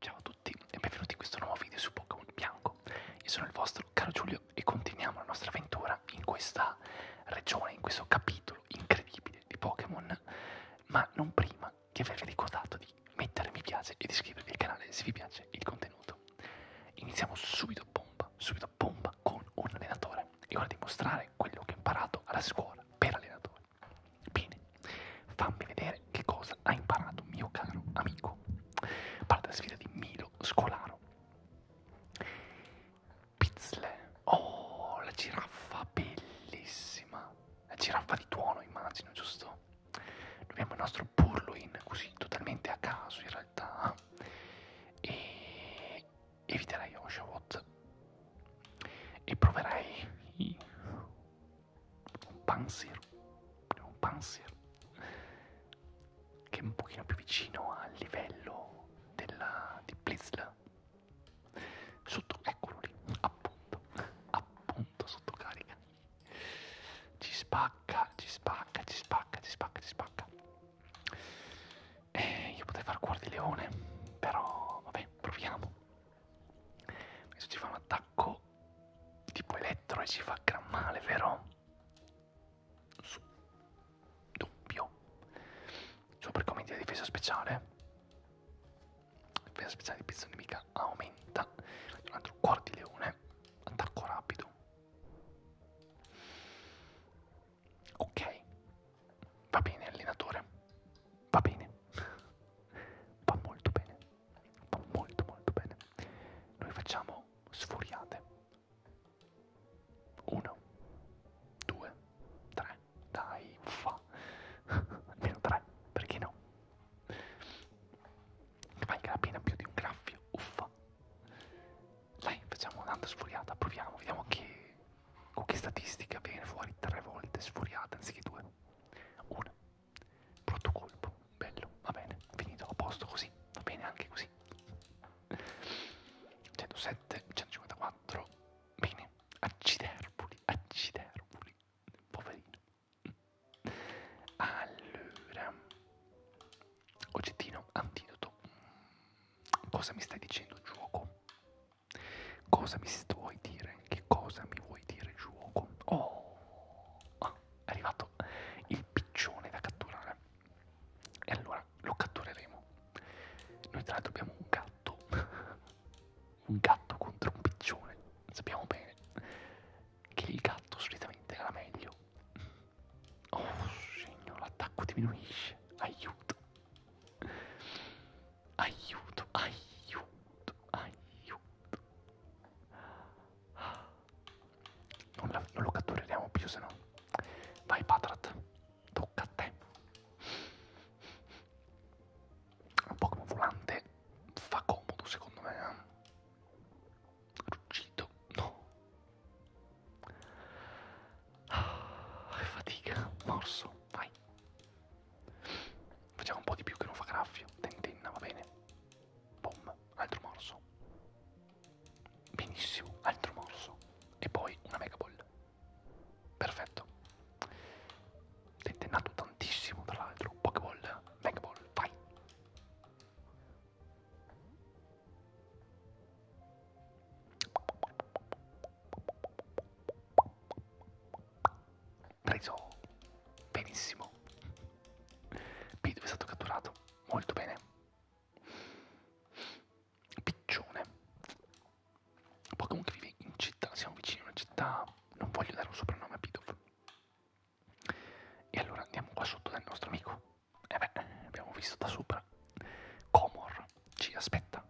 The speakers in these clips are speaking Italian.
Ciao a tutti e benvenuti in questo nuovo video su Pokémon Bianco. Io sono il vostro caro Giulio e continuiamo la nostra avventura in questa regione, in questo capitolo incredibile di Pokémon, ma non prima di avervi ricordato di mettere mi piace e di iscrivervi al canale se vi piace il contenuto. Iniziamo subito bomba, subito bomba con un allenatore. È ora di mostrare quello che ho imparato alla scuola per allenatore. Bene, fammi vedere che cosa ha imparato mio caro amico. Parte la sfida di Milo Scolaro. Pizzle. Oh, la giraffa bellissima. La giraffa di tuono, immagino, giusto? Abbiamo il nostro Burloin, così totalmente a caso in realtà. E eviterei Oshawott. E proverei un panzer, un panzer che è un pochino più vicino al livello della, di Blizzla. Sotto, eccolo lì, appunto, appunto sotto carica. Ci spacca, ci spacca, ci spacca, ci spacca, ci spacca. Eh, io potrei far cuor di leone, però vabbè, proviamo. Questo ci fa un attacco tipo elettro e ci fa gran male, vero? Su. Doppio. Super commenti di difesa speciale. La difesa speciale di pizza nemica aumenta. Un altro cuore di leone. Attacco rapido. Ok. Va bene, allenatore. Va bene. Va molto bene molto molto bene. Noi facciamo sfuriate. 1, 2, 3. Dai, fa. Almeno 3, perché no? Che valga la pena più di un graffio, uffa. Dai, facciamo un'altra sfuriata, proviamo, vediamo che, con che statistica viene fuori tre volte sfuriata anziché due. 1, brutto colpo, bello, va bene, finito, a posto così, va bene anche così. 107, 154, bene, acciderbuli, acciderbuli, poverino. Allora, oggettino, antidoto, cosa mi stai dicendo gioco? Cosa mi vuoi dire? Che cosa mi vuoi dire, gioco? Oh, ah, è arrivato il piccione da catturare. E allora lo cattureremo. Noi, tra l'altro, abbiamo un gatto. un gatto contro un piccione. Sappiamo bene che il gatto solitamente era meglio. Oh, signor, l'attacco diminuisce. Aiuto. Aiuto, aiuto aiuto. Non, la, non lo cattureremo più se no. Vai Patrat, tocca a te. Un Pokémon volante fa comodo secondo me. Eh. Ruggito, no. Ah, fatica, morso, vai. Facciamo un po' di più che non fa graffio. Tentenna, va bene. Boom, altro morso. Benissimo, altro morso. E poi una mega ball. Perfetto. Tentennato tantissimo, tra l'altro. Pokéball, mega ball, vai preso benissimo. P2 è stato catturato molto bene. Piccione. Pokémon che vive in città, siamo vicini a una città, non voglio dare un soprannome a Pidov. E allora andiamo qua sotto dal nostro amico. E eh beh, abbiamo visto da sopra. Comor ci aspetta.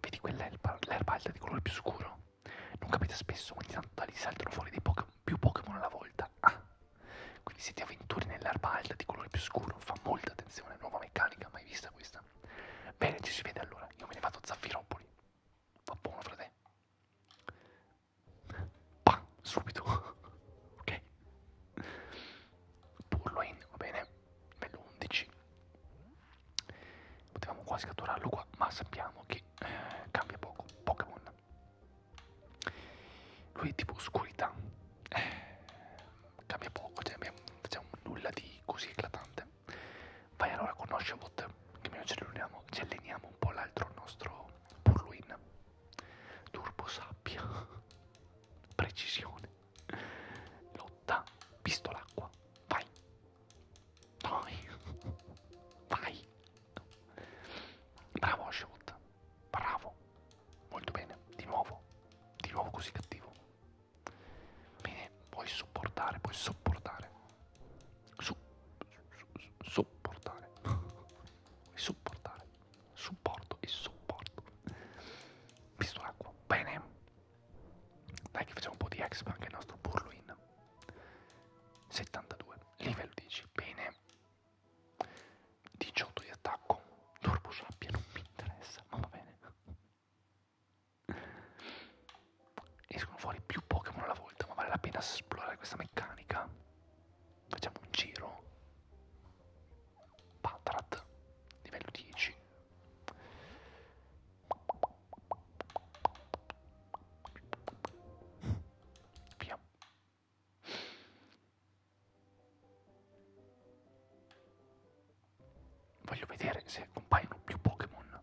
Vedi quell'erba alta di colore più scuro? non capita spesso, quindi tanto da lì saltano fuori dei Pokémon, più Pokémon alla volta. Ah, quindi se ti avventuri nell'erba alta di colore più scuro, fa molta attenzione, nuova meccanica, mai vista questa. Bene, ci si vede allora, io me ne vado a Zaffiropoli. Va buono, frate. Pam, subito. ok. Burloin, va bene. Bello 11 potevamo quasi catturarlo qua ma sappiamo che eh, cambia poco Pokémon lui è tipo oscurità eh, cambia poco cioè abbiamo, facciamo nulla di così eclatante vai allora con Oshawott che almeno ci alleniamo, ci alleniamo un po' l'altro nostro Purluin Turbo Sabbia precisione lotta pistolacqua vai dai. Dai. Bravo Ashwood. Bravo. Molto bene. Di nuovo. Di nuovo così cattivo. Bene. Puoi sopportare. Puoi sopportare. Su. su, su sopportare. sopportare. Supporto e sopporto. Visto l'acqua. Bene. Dai che facciamo un po' di exp anche il nostro Burluin. 72, livello 10, bene. 18 di attacco, l'orbo sabbia non mi interessa, ma va bene. Escono fuori più Pokémon alla volta, ma vale la pena esplorare questa meccanica. Facciamo un giro. Patrat, livello 10. Via. Voglio vedere se compaiono più Pokémon.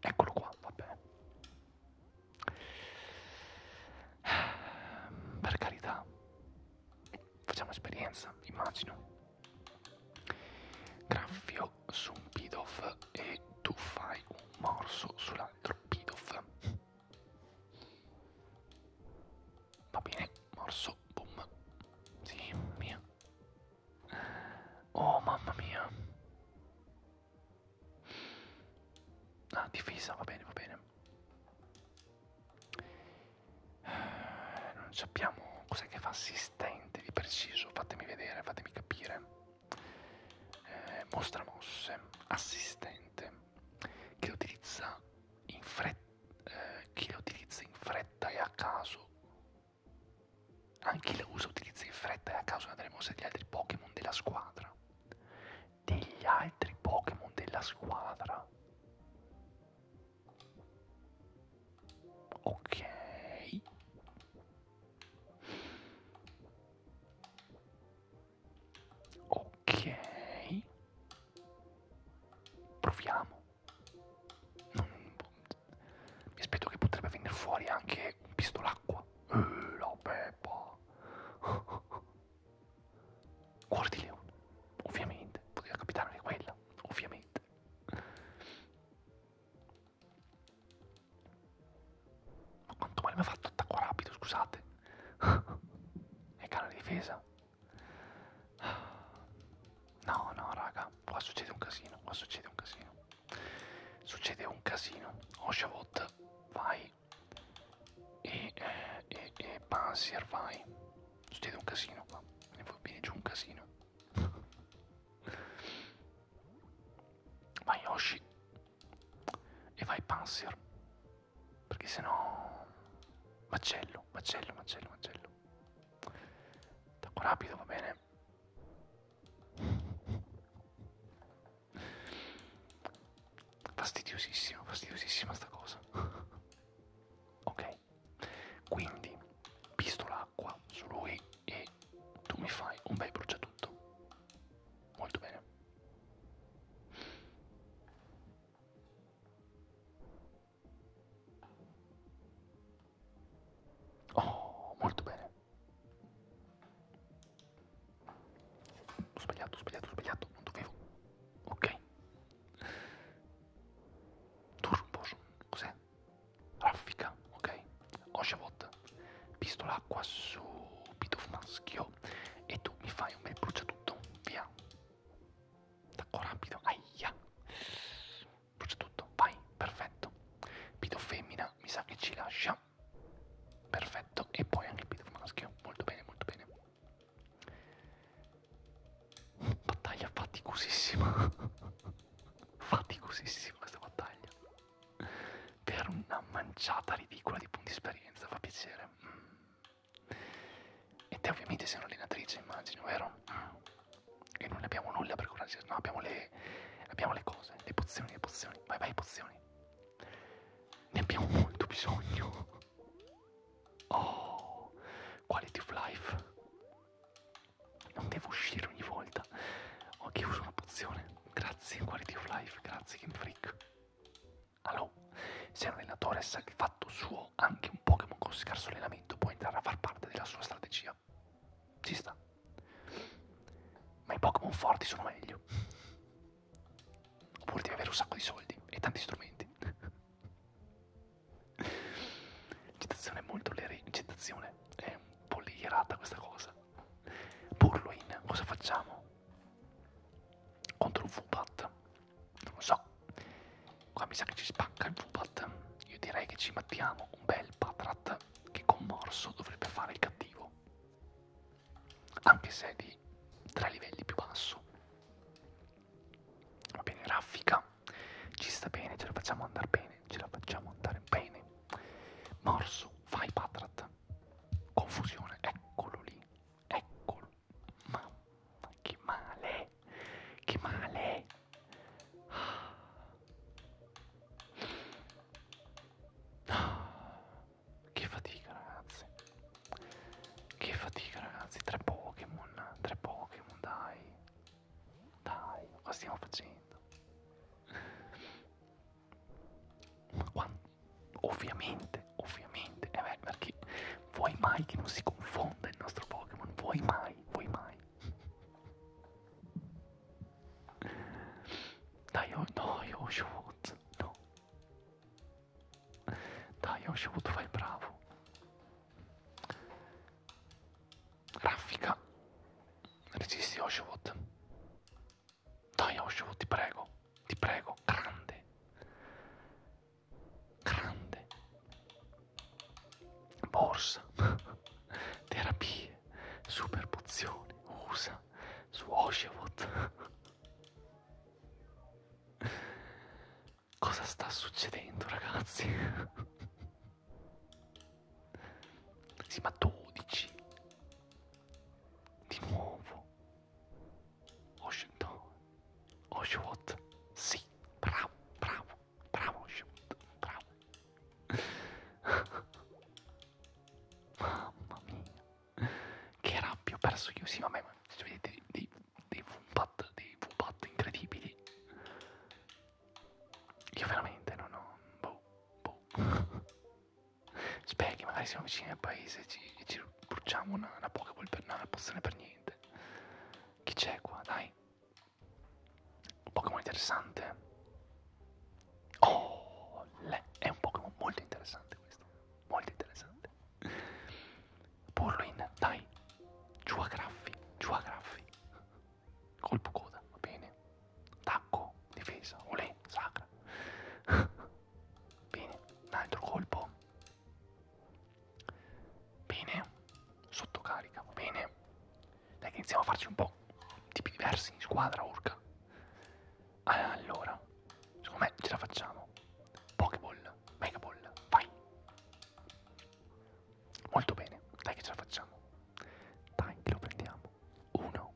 Eccolo qua, vabbè. Per carità, facciamo esperienza, immagino. Graffio coltello su un bidoff e tu fai un morso sull'altro bidoff va bene morso boom sì mia oh mamma mia ah difesa va bene va bene eh, non sappiamo cos'è che fa assistente di preciso fatemi vedere fatemi capire eh, mostra mosse, assistente, che utilizza in fretta, eh, chi la utilizza in fretta e a caso, anche chi la usa utilizza in fretta e a caso una delle mosse degli altri Pokémon della squadra, degli altri Pokémon della squadra. Ok, Ok. Proviamo. Non... Mi aspetto che potrebbe venire fuori anche un pistolacqua. Eh, la peppa. Cuore di leone. Ovviamente. Poteva capitare anche quella. Ovviamente. Ma quanto male mi ha fatto attacco rapido, scusate. e canale difesa. No, no, raga, qua succede un casino, qua succede un casino. Succede un casino. Oshavot, vai. E, eh, e, e Panzer, vai. Succede un casino qua. Ne va bene giù un casino. Vai Yoshi e vai Panzer, perché sennò macello, macello, macello, macello. Tacco rapido, va bene. Fastidiosissima, fastidiosissima sta cosa. ok, quindi pisto l'acqua su lui e tu mi fai un bel bruciatutto. Molto bene. Oh, molto bene. Ho sbagliato, ho sbagliato, ho sbagliato, non dovevo. Ok. Turboson, cos'è? raffica, ok? Oshavot, pistola acqua subito maschio e tu mi fai un bel bruciatutto, via. Tacco rapido, aia. Bruciatutto, vai, perfetto. Pido femmina, mi sa che ci lascia. Perfetto, e poi anche pido maschio, molto bene, molto bene. Battaglia faticosissima. faticosissima questa battaglia per una manciata ridicola di punti esperienza, fa piacere. Mm. E te ovviamente sei un'allenatrice, immagino, vero? Mm. E non abbiamo nulla per curarci, no, abbiamo le, abbiamo le cose, le pozioni, le pozioni, vai vai pozioni. Ne abbiamo molto bisogno. Oh, quality of life non devo uscire ogni volta. Ho chiuso una pozione. Grazie, Quality of Life, grazie Game Freak. Allora, se un allenatore sa che fatto suo anche un Pokémon con scarso allenamento può entrare a far parte della sua strategia. Ci sta. Ma i Pokémon forti sono meglio. Oppure devi avere un sacco di soldi e tanti strumenti. Citazione molto leggera. Citazione è polierata questa cosa. Purloin, cosa facciamo? Contro Fubat? Non lo so. Qua mi sa che ci spacca il Fubat. Io direi che ci mettiamo un bel Patrat che con morso dovrebbe fare il cattivo. Anche se è di tre livelli più basso. Va bene, raffica. Ci sta bene, ce la facciamo andare bene, ce la facciamo andare bene. Morso, fai patrat. Confusione, eccolo lì, eccolo. Mamma, che male, che male. Ah. Ah. Che fatica ragazzi, che fatica ragazzi, tre Pokémon, tre Pokémon dai. Dai, cosa stiamo facendo? Ma quando? Ovviamente, ovviamente, eh beh, perché vuoi mai che non si confonda il nostro Pokémon? Vuoi mai, vuoi mai? Dai, oh, no, io ho shoot, no. Dai, ho shoot, fai bravo. Raffica. Resisti Oshawott. Dai Oshawott, ti prego. Ti prego. Grande. Grande. Borsa. Terapie. Super pozioni. Usa. Su Oshawott. Cosa sta succedendo ragazzi? Sì, ma 12. Di nuovo. Oshwot. Oshwot. Sì, bravo, bravo, bravo Oshwot, bravo. Mamma mia. Che rabbia, ho perso io. Sì, vabbè, ma se vedete dei, dei, dei, Wumpat, dei Wumpat incredibili. Io veramente non ho... Boh, boh. Spero che magari siamo vicini al paese e ci, ci bruciamo una, una Pokéball per una pozione per niente. Chi c'è qua? Dai. Un Pokémon interessante. Oh, le, è un Pokémon molto interessante questo. Molto interessante. Purloin, dai. Giù a graffi, giù a graffi colpo coda, va bene, tacco, difesa, olè, sacra, bene, un altro colpo, bene, sottocarica, va bene, dai che iniziamo a farci un po' tipi diversi, squadra, urca, allora, secondo me ce la facciamo, Pokéball, Megaball, vai, Molto bene, dai che ce la facciamo. Dai che lo prendiamo. Uno,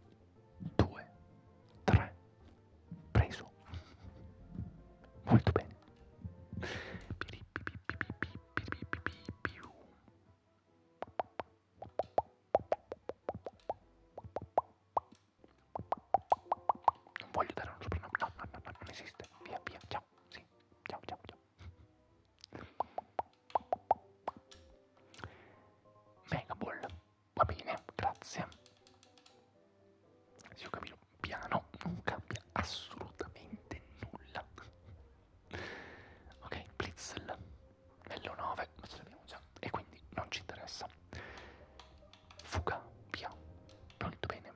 due, tre. Preso. Molto bene. Non voglio dare un soprannome. No, no, no, no, non esiste. Via, via, ciao. Sì, ciao, ciao, ciao. Megaball, va bene, grazie. Se io cammino piano non cambia assolutamente nulla. ok, Blitzel, bello 9, ma ce l'abbiamo già e quindi non ci interessa. Fuga, via, molto bene,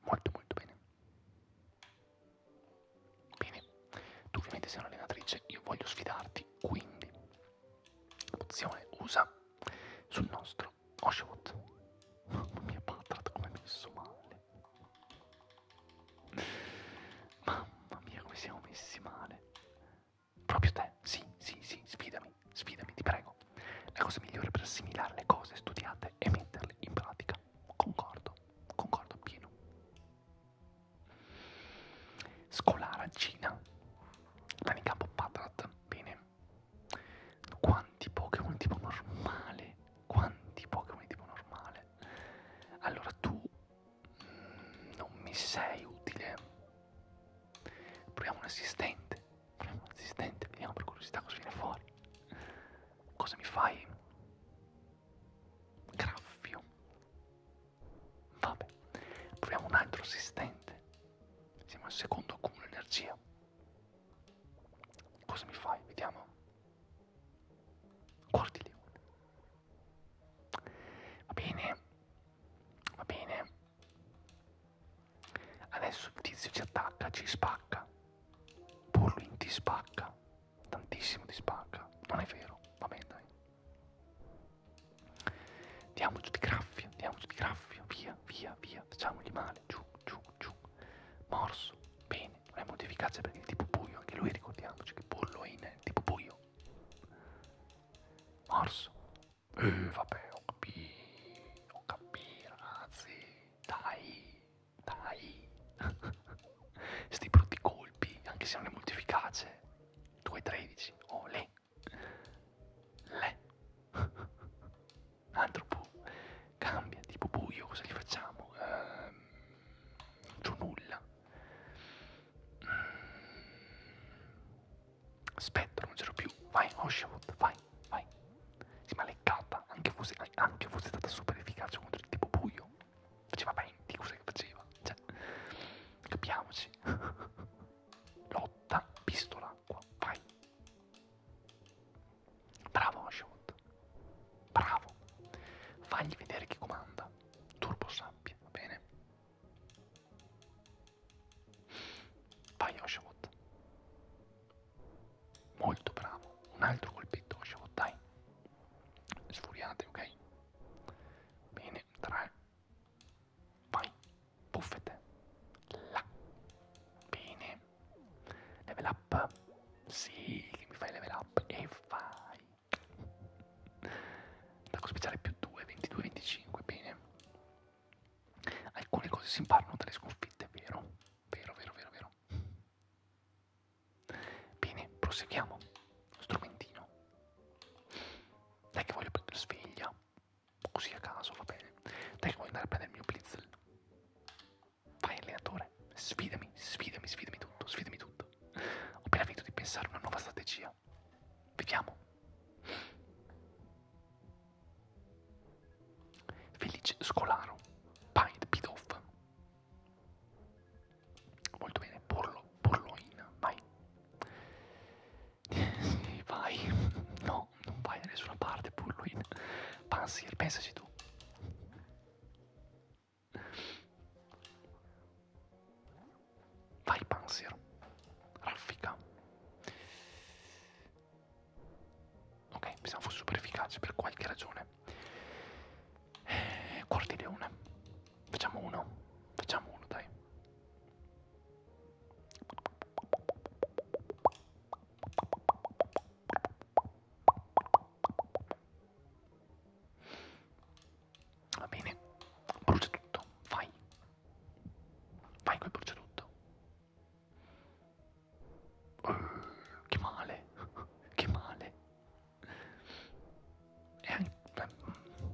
molto molto bene. Bene, tu ovviamente sei un'allenatrice, io voglio sfidarti, quindi opzione usa sul nostro Oshawott. Mamma mia, Patrat, come messo male. Mamma mia, come siamo messi male. Proprio te, sì, sì, sì, sfidami, sfidami, ti prego. La cosa migliore per assimilare le cose studiate è metterle in pratica via, concordo, concordo pieno. Scolara Gina, manica Patrat, bene. Quanti Pokémon tipo normale? Quanti Pokémon tipo normale? Allora tu mm, non mi sei utile. Proviamo un assistente. Proviamo un assistente, vediamo per curiosità cosa viene fuori. Cosa mi fai? graffio vabbè proviamo un altro assistente siamo al secondo accumulo energia cosa mi fai vediamo guardi lì va bene va bene adesso il tizio ci attacca ci spacca Burlin ti spacca tantissimo di spacca, non è vero, va bene dai. Diamoci di graffia, diamoci di graffia, via, via, via, facciamogli male, giù, giù, giù. Morso, bene, non è molto efficace perché è tipo buio, anche lui ricordiamoci che pollo è in tipo buio. Morso. Eh, vabbè, ho capito, ho capito, ragazzi, dai, dai, sti brutti colpi, anche se non è molto efficace. 2-13, oh le, le, antropo, cambia, tipo buio, cosa gli facciamo? Ehm, non c'ho nulla. Mm. Spettro, non c'ero più, vai, Oshawott, oh, vai, vai. Sì, ma leccata, anche fosse, anche fosse stata super efficace contro il tipo buio. Faceva 20, cosa che faceva? Cioè, capiamoci. Lotta, pistola, acqua, vai. Bravo Ashot. Bravo. Fagli vedere chi comanda. Turbo sabbia, va bene? Vai Oshawott. Molto bravo. Un altro colpetto Oshawott, dai sfuriate ok bene 3 vai buffete là bene level up sì che mi fai level up e vai attacco speciale più 2 22 25 bene alcune cose si imparano dalle sconfitte vero Vero, vero, vero, vero. Bene, proseguiamo. Strumentino. Dai che voglio prendere sveglia. Così a caso, va bene. Dai che voglio andare a prendere il mio blitzel. Vai allenatore, sfidami, sfidami, sfidami tutto, sfidami tutto. Ho appena finito di pensare a una nuova strategia. Vediamo. Felice Scolaro, Pint Pidoff, Molto bene, Porlo, Porloina, vai. sì, vai. No, non vai da nessuna parte, Porloina. Pansir, pensaci tu. Vai, Pansir. Raffica ok? Pensavo fosse super efficace per qualche ragione. Eh, quarti leone. Facciamo uno. Facciamo uno, dai. Va bene, brucia tutto, vai, vai col brucia tutto. Che male, che male. E eh, anche, mm. mm.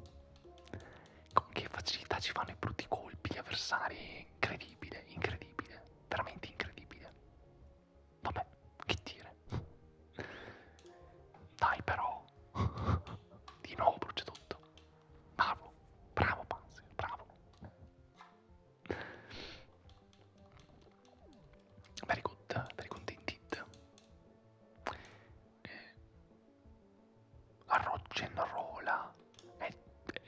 con che facilità ci fanno i brutti colpi gli avversari. Incredibile, incredibile, veramente incredibile. Vabbè, che dire. Dai però. Di nuovo brucia tutto. Bravo, bravo Panzer, bravo. Very good, very good indeed. Eh, Rock and roll è,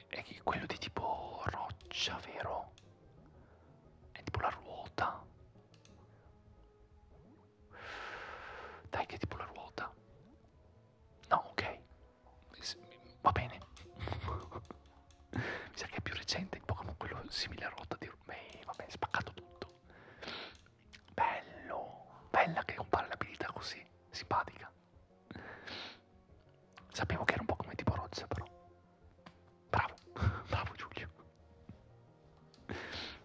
è quello di tipo roccia, vero? È tipo la ruota. Dai, che è tipo la ruota. No, ok. Va bene mi sa che è più recente il Pokémon quello simile a rotta di Rumei, vabbè, spaccato tutto. Bello, bella che compare l'abilità così, simpatica. Sapevo che era un po' come tipo roccia però. Bravo, bravo Giulio.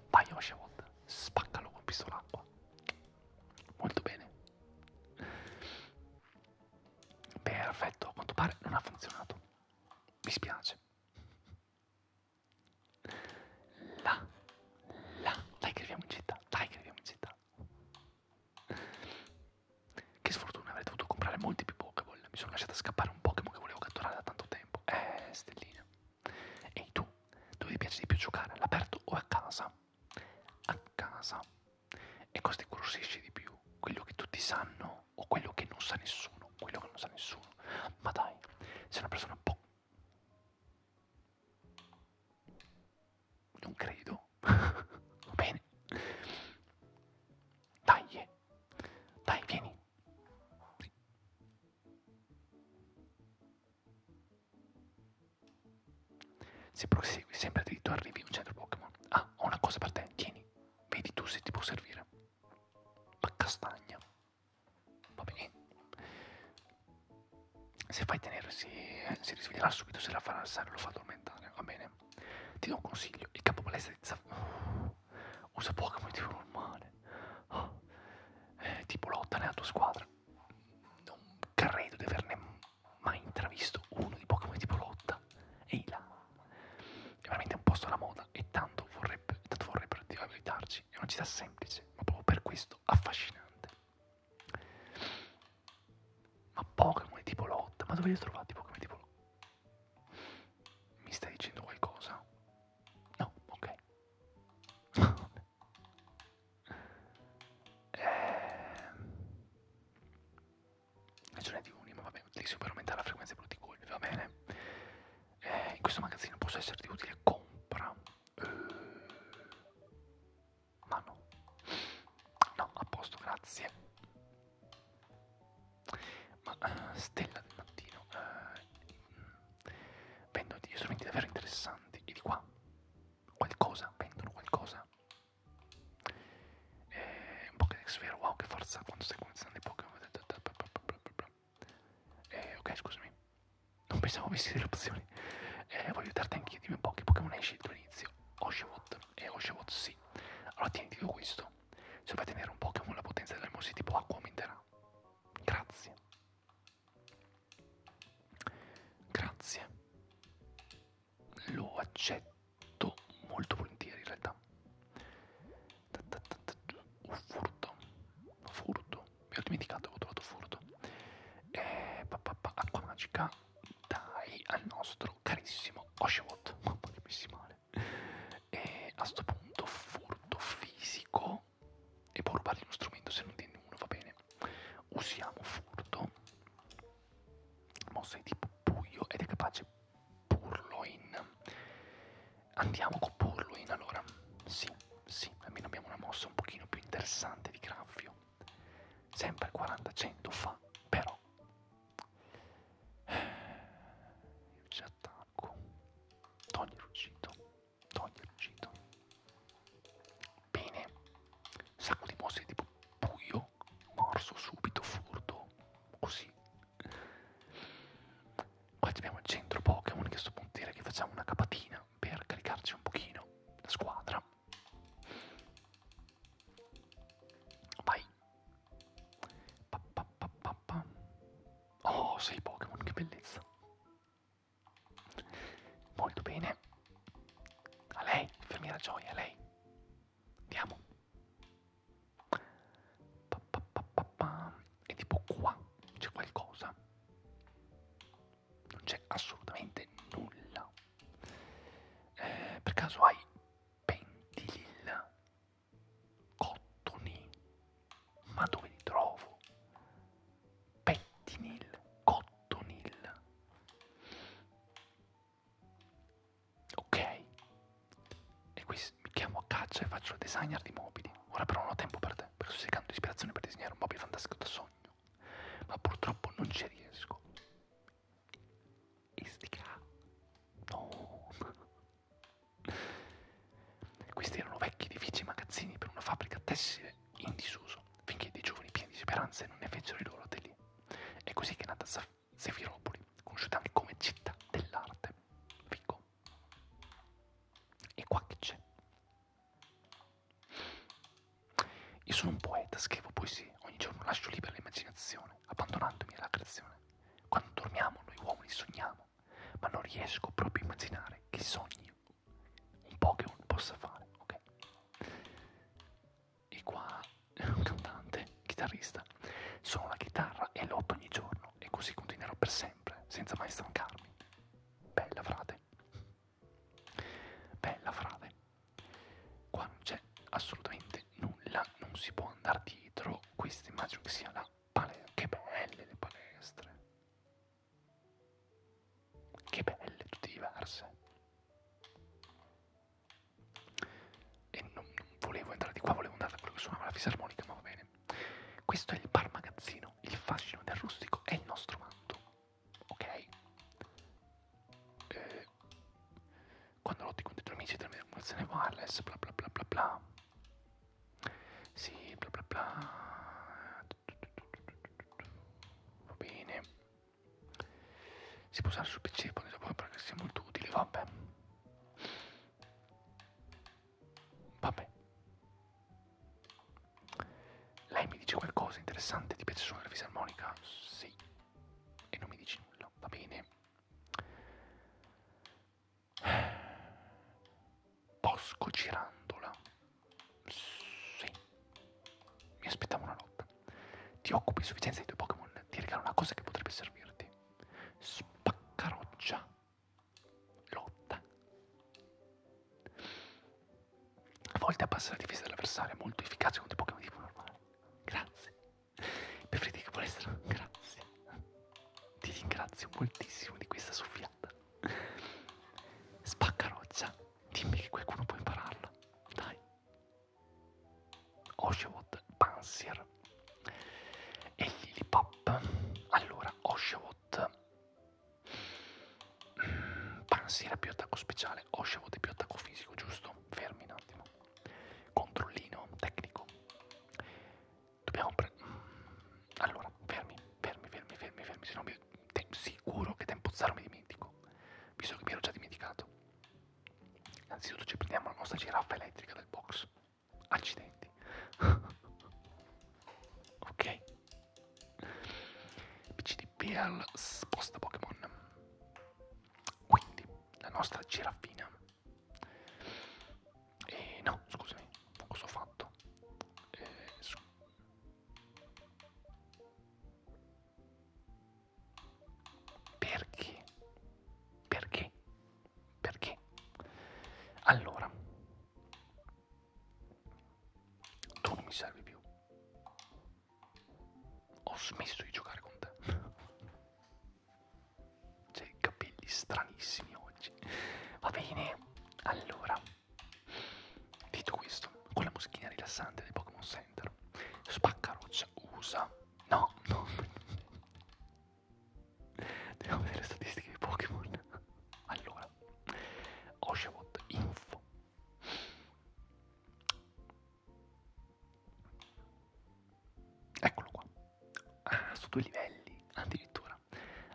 Vai Oshawott, spaccalo con pistolacqua. Molto bene. Perfetto, a quanto pare non ha funzionato mi spiace. Là, là, dai che arriviamo in città, dai che arriviamo in città. Che sfortuna, avrei dovuto comprare molti più Pokéball. Mi sono lasciata scappare un Pokémon che volevo catturare da tanto tempo. Eh, stellina. Ehi tu, dove ti piace di più giocare? All'aperto o a casa? A casa. E cosa ti incuriosisce di più? quello che tutti sanno o quello che non sa nessuno, quello che non sa nessuno. Ma dai, sei una persona un po'... Non credo. Va bene. Dai, yeah. dai, vieni. Sì. Se prosegui sempre dritto arrivi a un centro Pokémon. Ah, ho una cosa per te, tieni. Vedi tu se ti può servire. La castagna. Va bene. Se fai tenere si, eh, si risveglierà subito, se la farà alzare lo fa addormentare, va bene? Ti do un consiglio, il capo palestra di Zaf... Oh, uh, usa poco motivo normale. Oh, ah, eh, tipo lotta nella tua squadra. Non credo di averne mai intravisto uno di Pokémon tipo lotta. Ehi là. È veramente un posto alla moda e tanto vorrebbe, tanto vorrebbero riabilitarci. È una città semplice, ma proprio per questo affascinante. Ma Pokémon tipo Lot, ma dove li ho trovati Pokémon tipo Lot? Mi stai dicendo qualcosa? No, ok. eh ce n'è di uni, ma va bene, utilissimo per aumentare la frequenza dei brutti colpi, va bene. Eh, in questo magazzino posso esserti utile, compra. Eh, ma no. No, a posto, grazie. Ma uh, stella del mattino. Uh, eh, vendono degli strumenti davvero interessanti. E di qua? Qualcosa? Vendono qualcosa? E eh, un Pokédex sphere, wow che forza quando stai cominciando i Pokémon. Eh, ok, scusami. Non pensavo avessi delle opzioni. Eh, voglio aiutarti anch'io, dimmi un po' che Pokémon hai scelto all'inizio. Oshawott. E eh, Oshawott sì. Allora ti indico questo. Se vai a tenere un Pokémon la potenza della mossa tipo acqua aumenterà. Grazie. Grazie. Lo accetto molto molto volentieri in realtà un furto furto mi ho dimenticato avevo trovato furto e eh, papà acqua magica dai al nostro carissimo Oshawott mamma che messi male e a sto punto furto fisico e può rubargli uno strumento se non tieni uno va bene usiamo furto mossa di tipo buio ed è capace Purloin. Andiamo con Purloin allora. Sì, sì, almeno abbiamo una mossa un pochino più interessante di Graffio. Sempre 40-100 fa, però. Io ci attacco. Togli il ruggito. Togli il ruggito. Bene. Sacco di mosse tipo buio. Morso subito, furto. Così Qua abbiamo il centro Pokémon che sto punto dire che facciamo una capatina per caricarci un pochino la squadra. Vai. Pa, pa, pa, pa, pa. Oh, sei Pokémon, che bellezza. Molto bene. A lei, fermiera gioia, a lei. Andiamo. Pa, pa, pa, pa, pa. E tipo qua c'è qualcosa. Non c'è assolutamente nulla. Eh, per caso hai pentilil, cottoni, ma dove li trovo? Pettinil, cottonil. Ok. E qui mi chiamo a caccia e faccio il designer di mobili. Ora però non ho tempo per te, perché sto cercando ispirazione per disegnare un mobile fantastico da sogno. Ma purtroppo non ci riesco. Istica. No. Questi erano vecchi edifici e magazzini per una fabbrica tessile in disuso, finché dei giovani pieni di speranze non ne fecero i loro atelier. È così che è nata Safari Sefiropoli, conosciuta anche come città dell'arte. Fico. E qua che c'è? Io sono un poeta, scrivo poesie, ogni giorno lascio libera l'immaginazione, abbandonandomi alla creazione. Quando dormiamo noi uomini sogniamo, ma non riesco proprio a immaginare che sogni un Pokémon possa fare, ok? e qua un cantante, chitarrista, suono la chitarra e lotto ogni giorno e così continuerò per sempre, senza mai stancarmi. Bella frate. Bella frate. Qua non c'è assolutamente nulla, non si può andare dietro. Questa immagino che sia la palestra. Che belle le palestre. Che belle, tutte diverse e non, non volevo entrare di qua, volevo andare da quello che suonava la fisarmonica, ma va bene. Questo è il bar magazzino, il fascino del rustico è il nostro manto, ok? Eh, quando lotti con i tuoi amici, tramite emulazione wireless, bla bla bla bla bla. Sì, bla bla bla. Va bene si può usare sul PC, poi dopo perché sia molto utile, vabbè. Vabbè. Lei mi dice qualcosa interessante, ti piace suonare fisarmonica? Sì. E non mi dici nulla, va bene. Bosco Girandola. Sì. Mi aspettavo una notte ti occupi sufficienza dei tuoi Pokémon, ti regalo una cosa che potrebbe servirti. Spaccaroccia. Lotta. A volte abbassa la difesa dell'avversario, è molto efficace contro i Pokémon tipo normale. Grazie. Preferite che volessero? Grazie. Ti ringrazio moltissimo di questa soffiata. Spaccaroccia. Dimmi che qualcuno può impararla. Dai. Oshawoth Pansier e Lillipop. Allora, Oshawoth mm, Pansier è più attacco speciale, Oshawoth è più attacco fisico, giusto? Fermi un attimo. Controllino tecnico. Dobbiamo prendere... Mm, allora, fermi, fermi, fermi, fermi, fermi, se no mi... Te sicuro che tempo zero mi dimentico, visto che mi ero già dimenticato. Innanzitutto ci prendiamo la nostra giraffa elettrica del box. Accidenti. ok. PCDP al sposta Pokémon. Quindi la nostra giraffina. E no, scusami, cosa ho fatto? Eh, perché? Perché? Perché? Allora, tu non mi servi più. Ho smesso di giocare con te. C'hai cioè, capelli stranissimi oggi. Va bene, allora. Detto questo, con la moschina rilassante del Pokémon Center, Spaccaroccia usa No, no. Andiamo a vedere le statistiche di Pokémon. Allora, Oshawott, info. Eccolo qua. Ah, su due livelli, addirittura.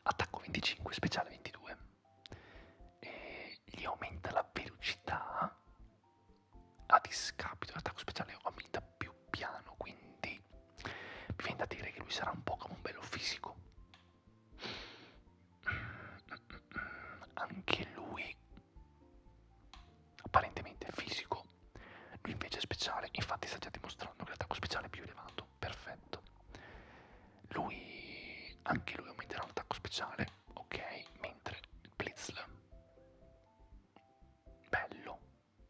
Attacco 25, speciale 22. E gli aumenta la velocità a discapito dell'attacco speciale omnita più piano, quindi mi viene da dire che lui sarà un po' come un bello fisico. Anche lui apparentemente fisico, lui invece è speciale, infatti sta già dimostrando che l'attacco speciale è più elevato, perfetto. Lui anche lui aumenterà l'attacco speciale, ok, mentre Blitzl Bello,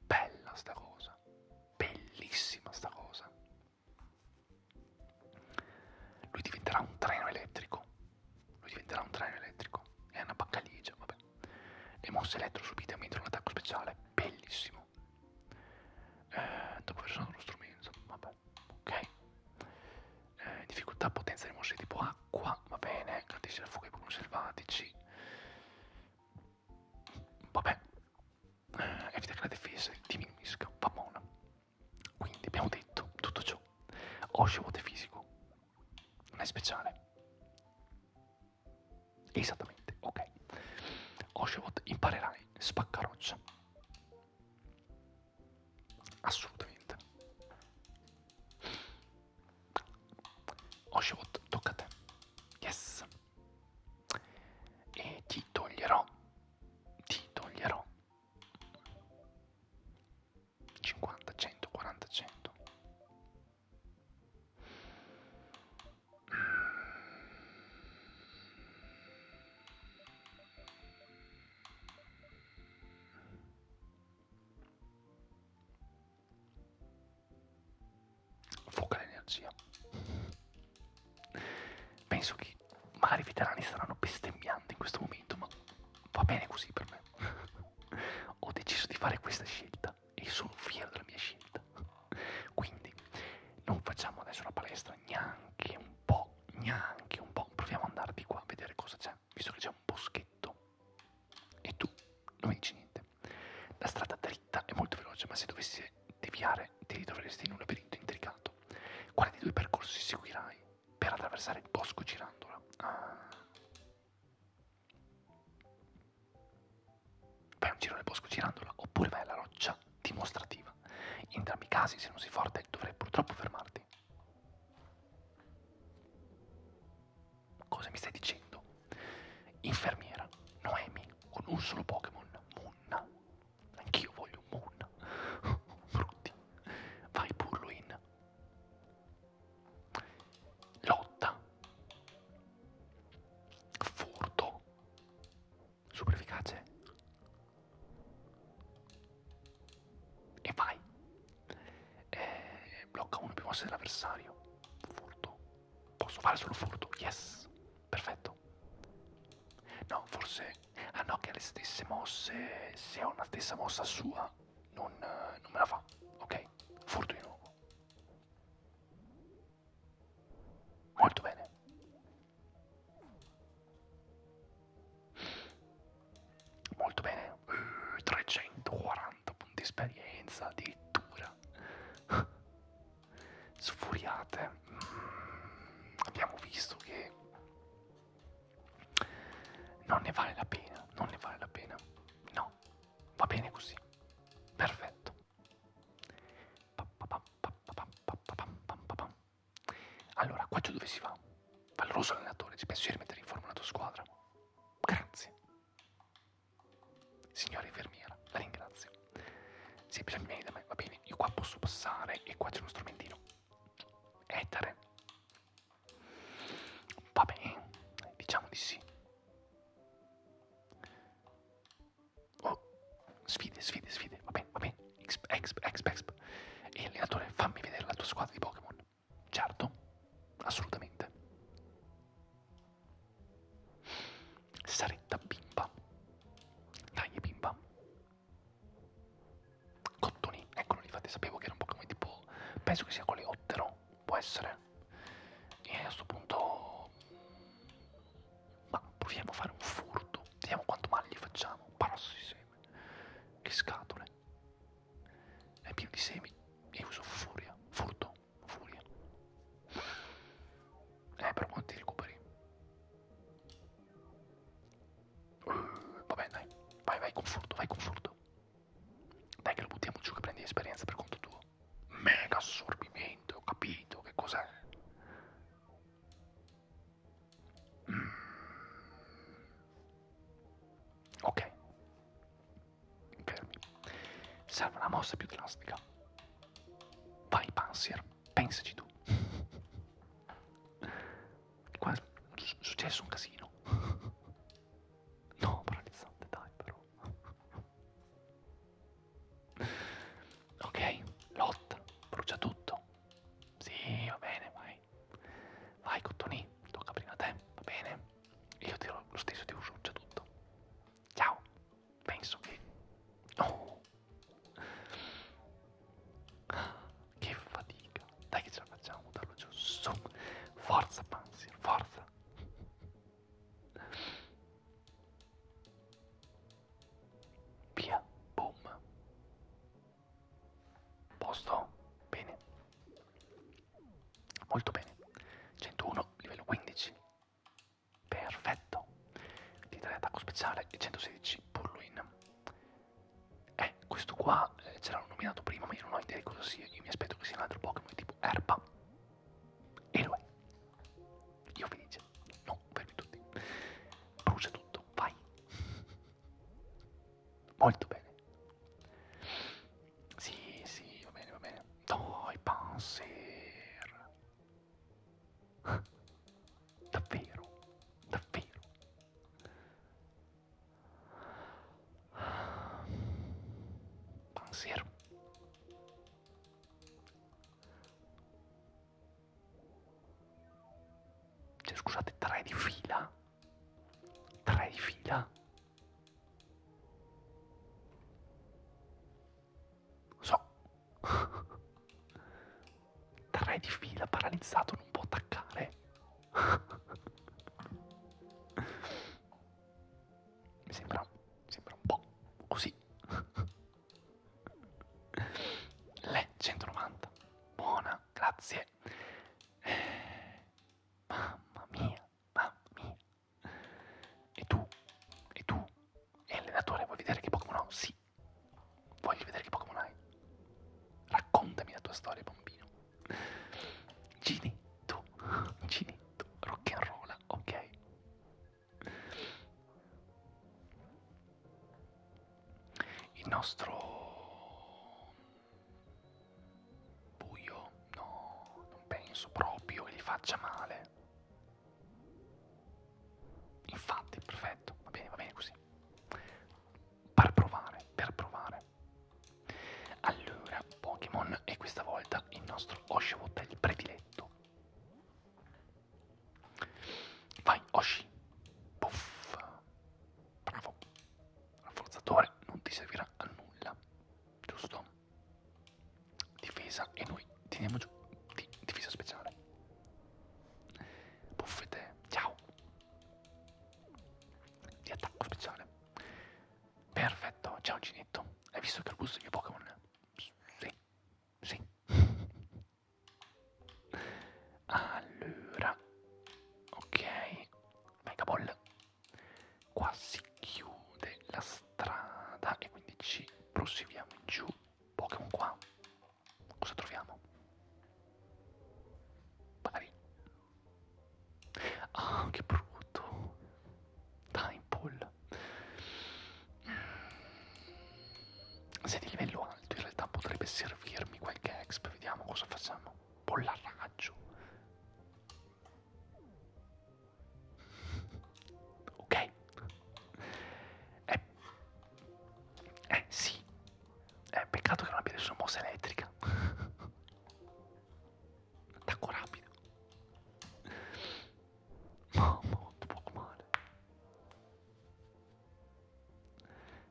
bella sta cosa, bellissima sta cosa. Lui diventerà un treno elettrico, lui diventerà un treno elettrico, è una baccaligia, vabbè. Le mosse elettro subite mentre un attacco speciale, bellissimo. Eh, dopo aver usato lo strumento, vabbè, ok. Eh, difficoltà potenza di mosse tipo A, acqua, va bene, gratisce da fuoco ai Pokémon selvatici. Vabbè, eh, evita che la difesa diminuisca, va buona. Quindi abbiamo detto tutto ciò. Osho vote fisico, non è speciale. Esattamente, ok. Oshawott imparerai spaccaroccia. Assolutamente. Oshivot, tocca a te. Yes. E ti toglierò. Ti toglierò. 50, 100, 40, 100. Fuoca l'energia. Penso che magari i veterani staranno bestemmiando in questo momento, ma va bene così per me. Ho deciso di fare questa scelta e sono fiero della mia scelta. Quindi non facciamo adesso una palestra neanche un po', neanche un po'. Proviamo ad andare di qua a vedere cosa c'è, visto che c'è un boschetto e tu non vinci niente. La strada dritta è molto veloce, ma se dovessi deviare ti ritroveresti in un labirinto intricato. Quale dei due percorsi seguirai per attraversare il bosco girandola? Ah. Fai un giro nel bosco girandola oppure vai alla roccia dimostrativa. In entrambi i casi, se non sei forte, dovrai purtroppo fermarti. Cosa mi stai dicendo? Infermiera, Noemi, con un solo Pokémon, Munna. Anch'io voglio un Munna. Brutti. Vai Purluin. Lotta. Furto. Super efficace e vai. E eh, blocca uno più mosse dell'avversario. Furto. Posso fare solo furto? Yes. Perfetto. No, forse... Ah no, che ha le stesse mosse. Se ha una stessa mossa sua, non, non me la fa. Ok, furto di nuovo. Molto bene. Molto bene, uh, 340 punti esperienza addirittura. Sfuriate. Mm, abbiamo visto che non ne vale la pena, non ne vale la pena. No, va bene così. Perfetto. Allora, qua giù dove si va? Valoroso allenatore, ti piace rimettere in forma la tua squadra? Grazie. Signora infermiera, la ringrazio. Se hai bisogno di me, va bene, io qua posso passare e qua c'è uno strumentino. Etere. Va bene, diciamo di sì. Oh, sfide, sfide, sfide, va bene, va bene. Exp, exp, exp, exp. E allenatore, fammi vedere la tua squadra di Pokémon. Certo, assolutamente. Saretta bimba. Dai, bimba. Cottoni, eccolo lì, infatti sapevo che era un Pokémon tipo... Penso che sia coleottero, può essere. E a questo punto... Ma proviamo a fare un furto. Vediamo quanto male gli facciamo. Parassiseme. Che scatole. È pieno di semi e uso furia, furto, furia. Eh, però quanti recuperi? Uh, vabbè, dai, vai, vai con furto, vai con furto. Dai che lo buttiamo giù che prendi esperienza per conto tuo. Mega assorbimento, ho capito, che cos'è? Mm. Ok. Fermi. Serve una mossa più drastica. Vai, Panzer, pensaci tu. Qua è successo un casino. No, paralizzante, dai, però. Ok, Lot, brucia tutto. Sì, va bene, vai noi. Vai Cottonì, tocca prima a te, va bene? Io tiro lo stesso di uso, c'è tutto. Ciao, penso che... Oh! Che fatica! Dai che ce la facciamo, buttarlo giù, su! Forza Panzer, forza! Via, boom! Posto? Bene. Molto bene. 101, livello 15. Perfetto. Di 3 attacco speciale e 116 Purluin. Eh, questo qua eh, ce l'hanno nominato prima, ma io non ho idea di cosa sia. Io mi aspetto che sia un altro Pokémon tipo Erba. E lo è. Io felice. No, fermi tutti. Brucia tutto, vai. Molto bene. Sì, sì, va bene, va bene. Dai, Panzer. Davvero, davvero. Panzer. Cioè, scusate, tre di fila? Tre di fila? So. Tre di fila, paralizzato, non può attaccare. mi, sembra, mi sembra un po' così. Le 190, buona, grazie. Mamma mia, mamma mia. E tu? E tu? E allenatore, vuoi vedere che Pokémon ho? Sì. Voglio vedere che Pokémon hai. Raccontami la tua storia, bambino. Ginetto, Ginetto, rock'n'roll, ok. Il nostro Buio? No, non penso proprio che gli faccia male. Infatti, perfetto, va bene, va bene così. Per provare, per provare. Allora, Pokémon e questa volta il nostro Oshawott è il prediletto. Vai, Oshi. Puff. Bravo il forzatore non ti servirà a nulla, giusto? Difesa e noi teniamo giù di difesa speciale. Buffete, ciao. Di attacco speciale. Perfetto, ciao Ginetto. Hai visto che il gusto dei miei Pokémon? Sì, sì. Allora, ok, Mega Ball. Qua si chiude la strada e quindi ci proseguiamo in giù. Pokémon qua. Cosa troviamo? Pari. Ah, che brutto. Timepole. Se di livello alto in realtà potrebbe servirmi qualche exp, vediamo cosa facciamo. Bollarraggio. Ok. Eh, eh sì. Eh, peccato che non abbia nessuna mossa elettrica. Attacco rapido. Mamma, molto poco male.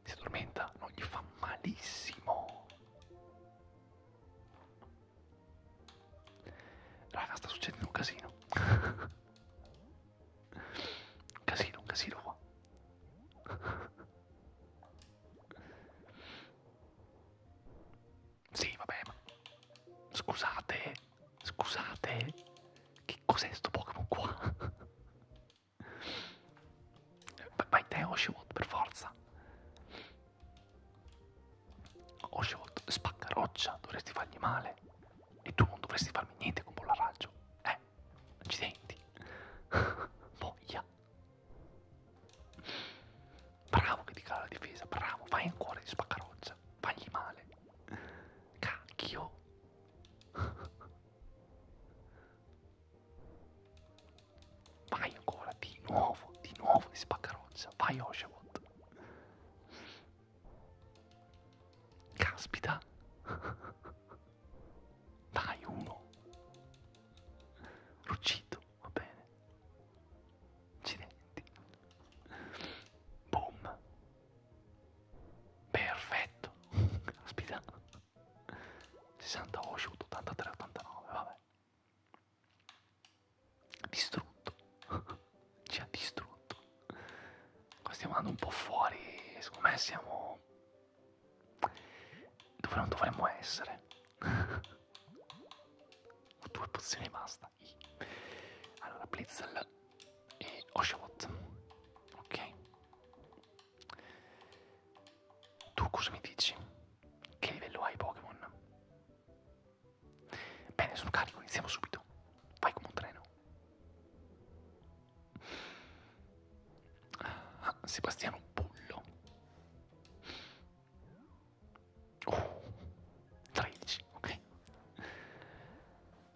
Si addormenta, non gli fa malissimo. Raga, sta succedendo un casino. un casino, un casino qua. sì, vabbè, ma scusate, scusate, che cos'è sto Pokémon qua? Vai te Oshiwold per forza Oshiwold spacca roccia Dovresti fargli male E tu non dovresti farmi niente con Bollaraggio Eh Accidenti Voglia Bravo che ti cala la difesa Bravo Vai ancora di spacca roccia Fagli male Cacchio Vai ancora, di nuovo, di nuovo di spaccaroccia. Vai Oshawott. Caspita. Dai, uno. Ruccito, va bene. Accidenti. Boom. Perfetto. Caspita. 60 Oshoot, 83, 89, vabbè. Distrutto. Ci cioè, ha distrutto. Qua stiamo andando un po' fuori, secondo me siamo dove non dovremmo essere. Ho due pozioni e basta. Allora, Blitzel e Oshawott. Ok. Tu cosa mi dici? Che livello hai Pokémon? Bene, sono carico, iniziamo subito. Vai come un treno. Ah, Sebastiano Bullo. Oh, 13, ok.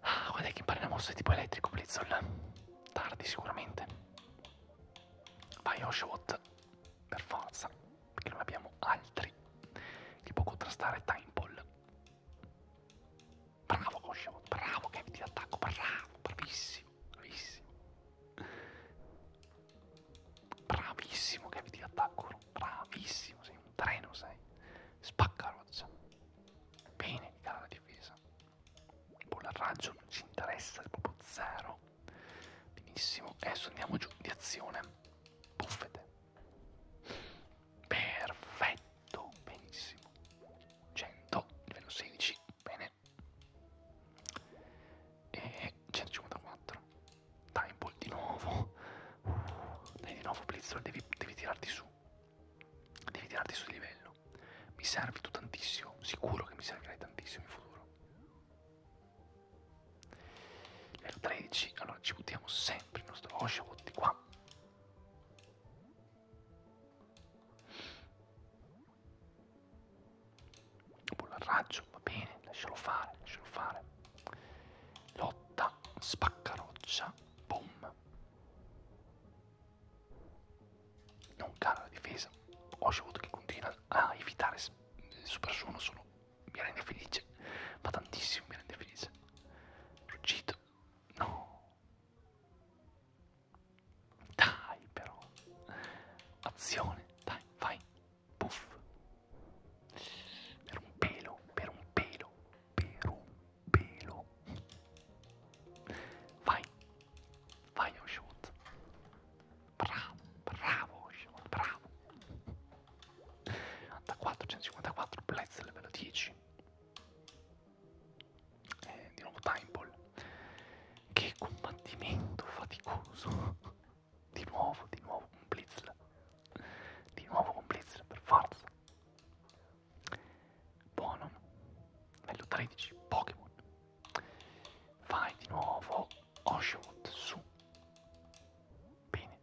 Ah, guarda che impara una mossa di tipo elettrico, Blizzol. Tardi sicuramente. Bioshock per forza, perché non abbiamo altri che può contrastare Timeball. Bravo Oshawott, bravo che di attacco, bravo, bravissimo, bravissimo. Bravissimo che di attacco, bravissimo, sei un treno, sei. Spacca roccia. Bene, cara la difesa il bolla raggio non ci interessa, è proprio zero. Benissimo, adesso andiamo giù di azione. Buffete. Perfetto, benissimo. 100, livello 16, bene. E 154. Timeball di nuovo. Uh, dai di nuovo Blizzard, devi, devi tirarti su. Devi tirarti su di livello davvero. Mi serve tu tantissimo, sicuro che mi servirai tantissimo in futuro. Le 13, allora ci buttiamo sempre il nostro Oshawott di qua. Bolla al raggio, va bene, lascialo fare, lascialo fare. Lotta, spaccaroccia, boom non cala la difesa. Ho scevuto che continua a evitare il super suono, solo mi rende felice, ma tantissimo mi rende felice. Ruggito, no. Dai però. Azione, dai, vai. Puff. Per un pelo, per un pelo, per un pelo. Vai, vai Oshawott. Bravo, bravo Oshawott, bravo. 94, 154, Blitz livello 10. Eh, di nuovo Timeball. Che combattimento faticoso. di nuovo, di nuovo un Blitzl. Di nuovo un Blitzl, per forza. Buono. Livello 13, Pokémon. Vai di nuovo Oshawott su. Bene.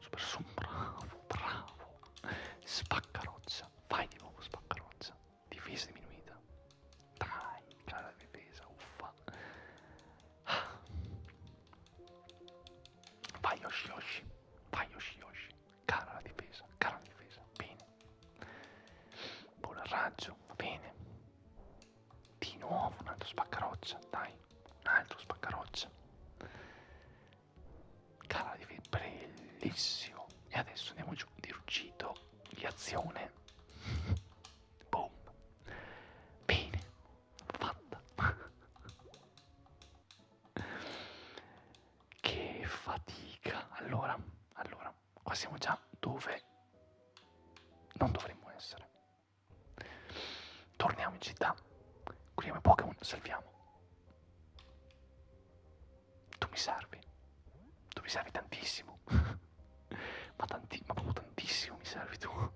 Super su, bravo, bravo. Spaccarozza. Vai di nuovo spaccarozza. Difesa diminuita. Dai, cara difesa, uffa. Ah. Vai Yoshi Yoshi, vai Yoshi Yoshi, cara la difesa, cara la difesa, bene. Buon raggio, va bene. Di nuovo un altro spaccaroccia, dai, un altro spaccaroccia. Cara la difesa, bellissimo. E adesso andiamo giù di ruggito, di azione. Boom. Bene, fatta. Che fatica. Allora, allora, qua siamo già dove non dovremmo essere. Torniamo in città. Curiamo i Pokémon, salviamo. Tu mi servi. Tu mi servi tantissimo. ma, tanti ma proprio tantissimo mi servi tu.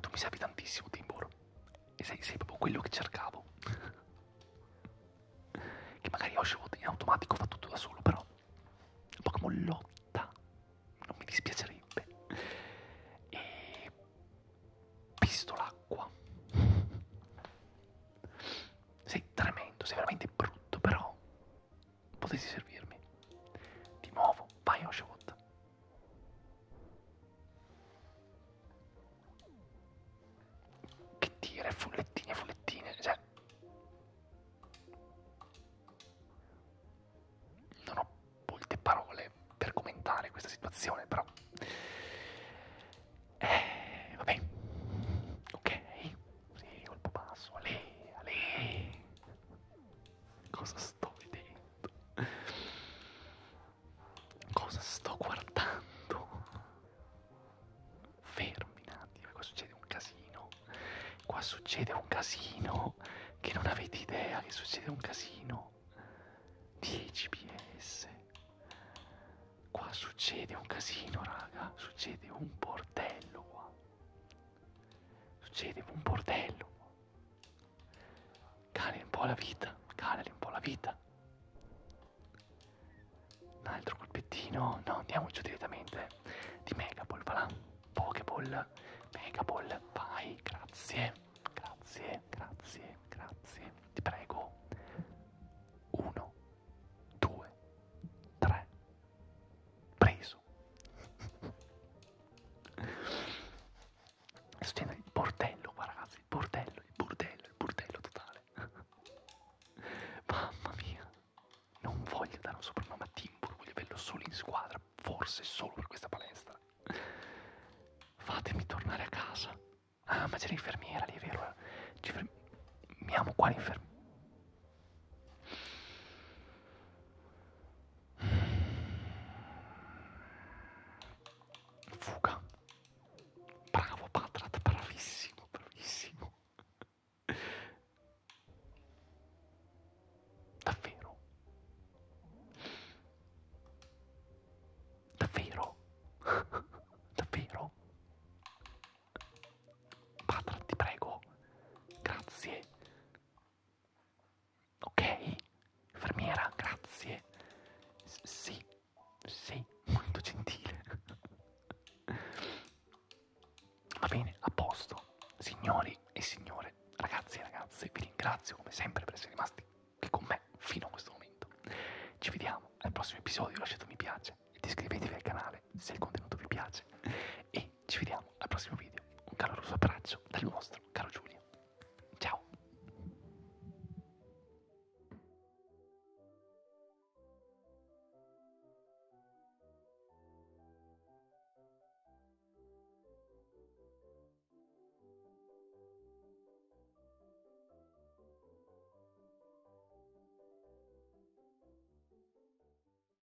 Tu mi servi tantissimo, Timbor. E sei, sei proprio quello che cercavo. che magari Oshawott in automatico fa tutto da solo, però. Pokémon lotta. Non mi dispiacerebbe. E. Pistolacqua. Sei tremendo, sei veramente brutto, però potessi servirmi. Di nuovo, vai Oshawott. Che tira, fullettine, fullettine, cioè... Non ho molte parole per commentare questa situazione, però... Eh, vabbè. Ok, sì, colpo basso, ale, ale. Cosa sto vedendo? Cosa sto guardando? Fermi un attimo, qua succede un casino. Qua succede un casino che non avete idea che succede un casino. 10 PS. Qua succede un casino, raga. Succede un bordello qua. Succedeva un bordello. Cali un po' la vita, calali un po' la vita. Un altro colpettino, no, andiamoci direttamente di Megapol, va là. Pokéball, Megapol, vai, grazie, grazie, grazie, grazie, ti prego. 1, 2, 3, preso. Succede il bordello qua ragazzi, il bordello, il bordello, il bordello totale. Mamma mia, non voglio dare un soprannome a Timbur, voglio averlo solo in squadra, forse solo per questa palestra. Fatemi tornare a casa. Ah, ma c'è l'infermiera lì, è vero? Eh? Ci fermiamo qua l'infermiera. Fuga. Bravo Patrat, bravissimo, bravissimo. Davvero? Davvero? Davvero? Patrat, ti prego. Grazie. Ok, infermiera, grazie. S sì, sì, molto gentile. Va bene, a posto. Signori e signore, ragazzi e ragazze, vi ringrazio come sempre per essere rimasti qui con me fino a questo momento. Ci vediamo al prossimo episodio, lasciate un mi piace ed iscrivetevi al canale se il contenuto vi piace. E noi ci vediamo al prossimo video. Un caloroso abbraccio dal vostro caro Giulio. Ciao!